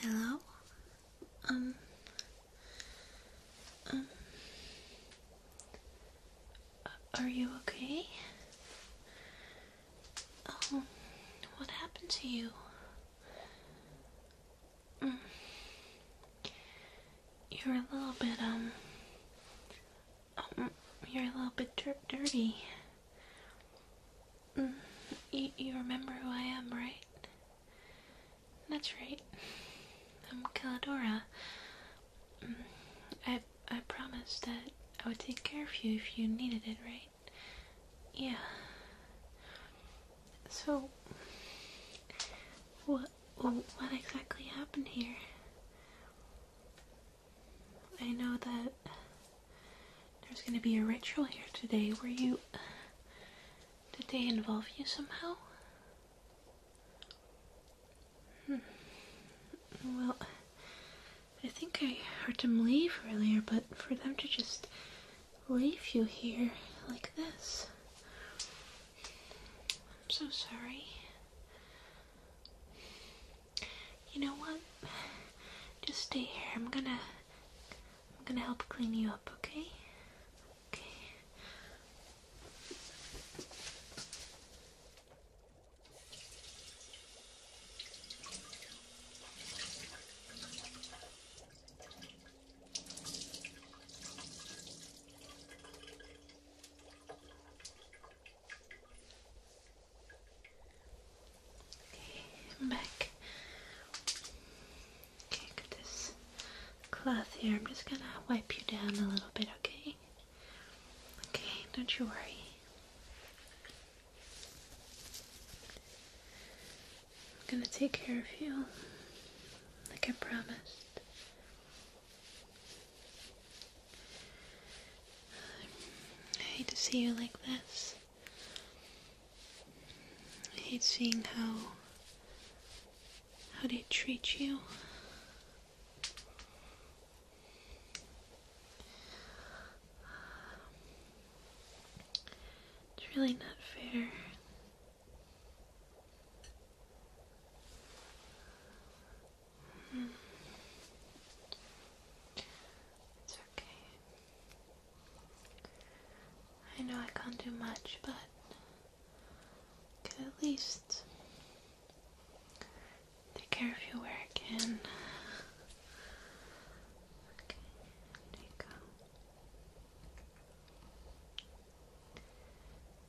Hello? Um, um, are you okay? Oh, what happened to you? Mm. You're a little bit, um, um you're a little bit drip dirty. Mm, you, remember who I am, right? That's right. I'm Caladora. Mm, I I promised that I would take care of you if you needed it, right? Yeah. So, what what exactly happened here? I know that there's going to be a ritual here today where you. Did they involve you somehow? Hmm. Well, I think I heard them leave earlier, but for them to just leave you here like this. I'm so sorry. You know what? Just stay here. I'm gonna I'm gonna help clean you up, okay? Okay. Okay, and back. Okay, got this cloth here. I'm just gonna wipe you down a little bit, okay? Okay, don't you worry. I'm gonna take care of you, like I promised. I hate to see you like this. I hate seeing how how they treat you. It's really not fair. Hmm. It's okay. I know I can't do much, but at least take care of you where I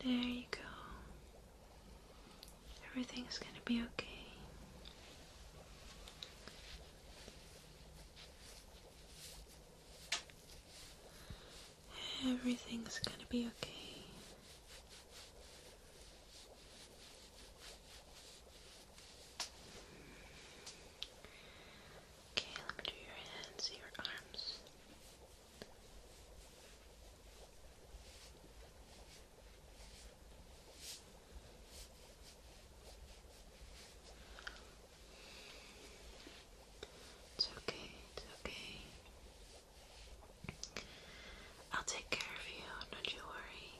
there you go. There you go. Everything's gonna be okay. Everything's gonna be okay. Okay, let me do your hands, your arms. It's okay, it's okay. I'll take care of you, don't you worry.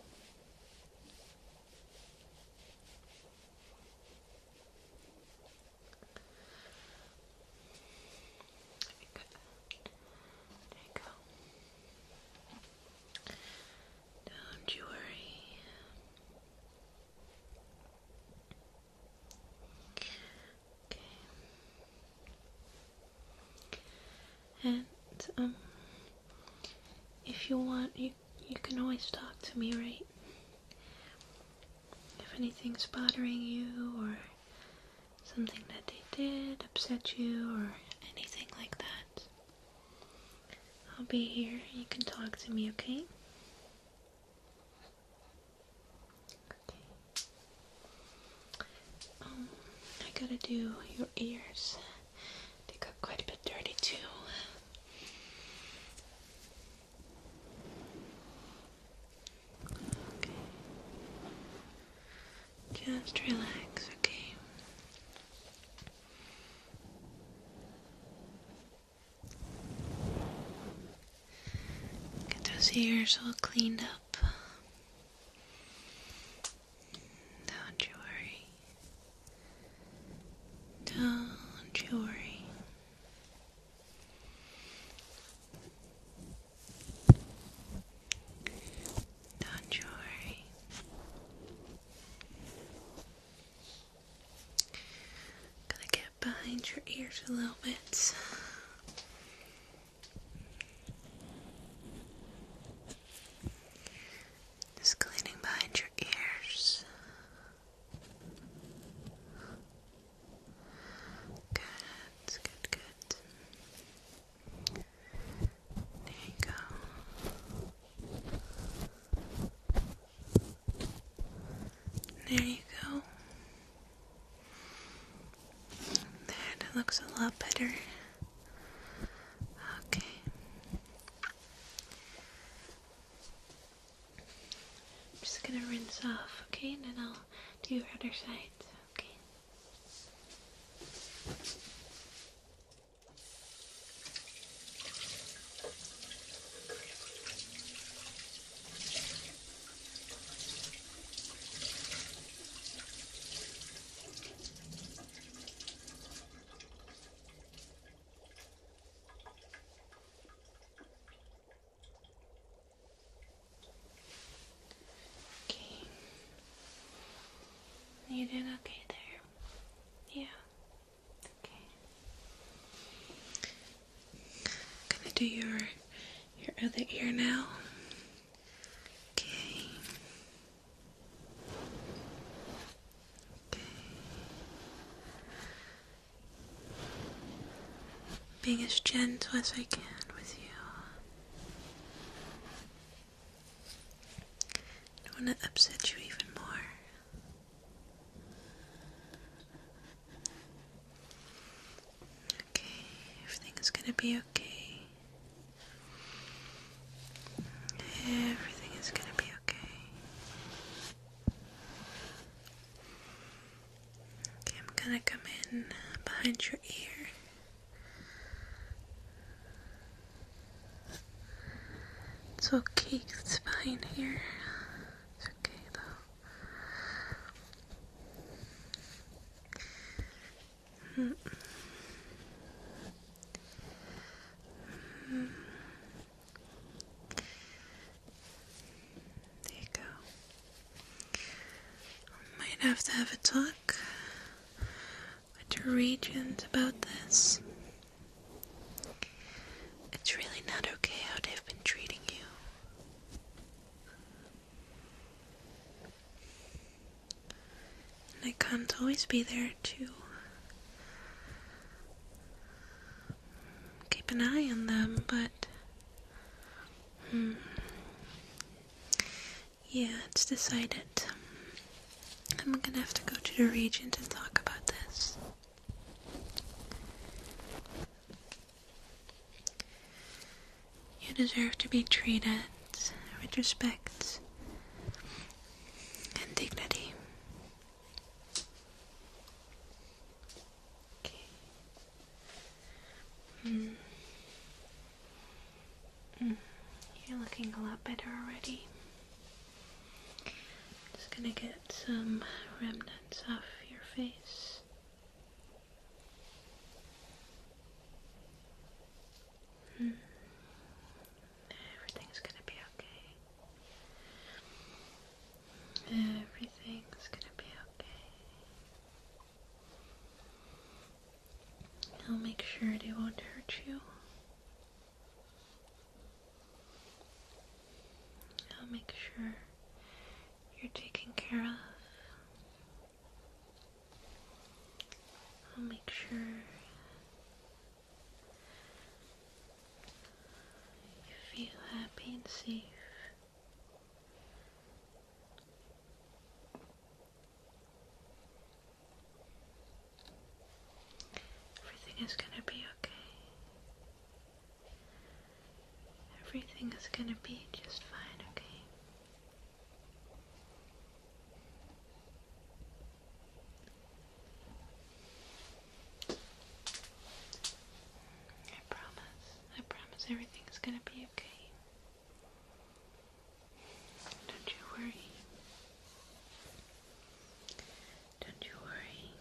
There you go. Don't you worry. Okay. And um if you want you you can always talk to me, right? If anything's bothering you or something that they did upset you or anything like that. I'll be here. You can talk to me, okay? Okay. Um, I gotta do your ears. They got quite a bit dirty too. Okay. Just relax, okay? Get those ears all cleaned up. Don't you worry. Don't you worry. Don't you worry. Gonna get behind your ears a little bit. Just cleaning behind your ears. Good, good, good. There you go. There you go. That looks a lot better. Okay. I'm just gonna rinse off, okay? And then I'll do your other side, okay? Okay. You did okay there. Yeah. I'm gonna do your your other ear now. Okay. Okay. Being as gentle as I can with you. I don't want to upset you even more. Okay, everything's gonna be okay. Everything is gonna be okay. Okay, I'm gonna come in behind your ear. It's okay, it's fine here. It's okay though. There you go. Might have to have a talk with your regent about this. It's really not okay how they've been treating you. And I can't always be there to keep an eye on them, but. Hmm. Yeah, it's decided. I'm gonna have to go to the regent and talk about this. You deserve to be treated with respect and dignity. Okay. Mm. Mm. You're looking a lot better already. Just gonna get some remnants off your face. Hmm. Everything's gonna be okay. Everything's gonna be okay. I'll make sure they won't hurt you. I'll make sure you're taken care of. I'll make sure you feel happy and safe. Everything is going to be okay. Everything is going to be just fine, okay? I promise. I promise everything is going to be okay. Don't you worry. Don't you worry.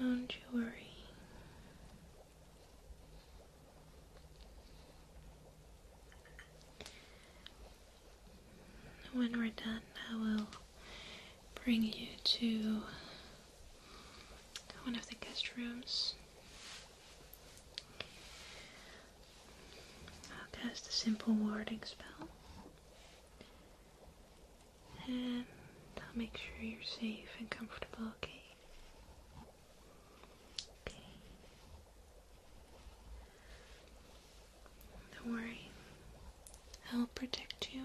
Don't you worry. When we're done, I will bring you to one of the guest rooms I'll cast a simple warding spell. And I'll make sure you're safe and comfortable, okay? Okay. Don't worry. I'll protect you.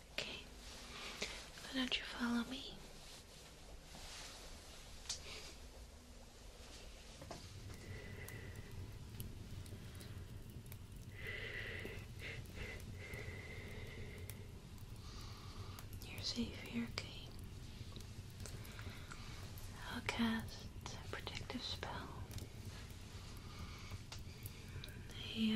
Okay, why don't you follow me? You're safe here, Kate. I'll cast a protective spell. A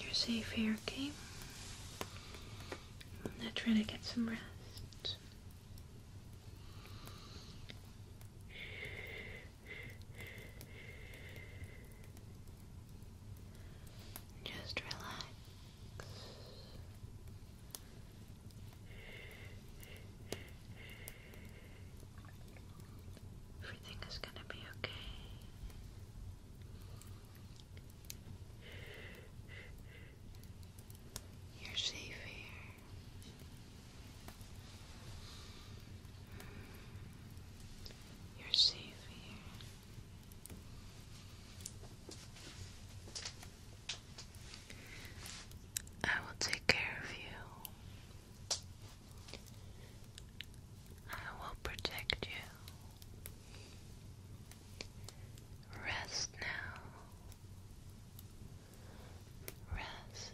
you're safe here, okay? I'm gonna try to get some rest. Just relax. Everything is going to be okay. You're safe here. You're safe here. I will take care of you. I will protect you. Rest now. Rest.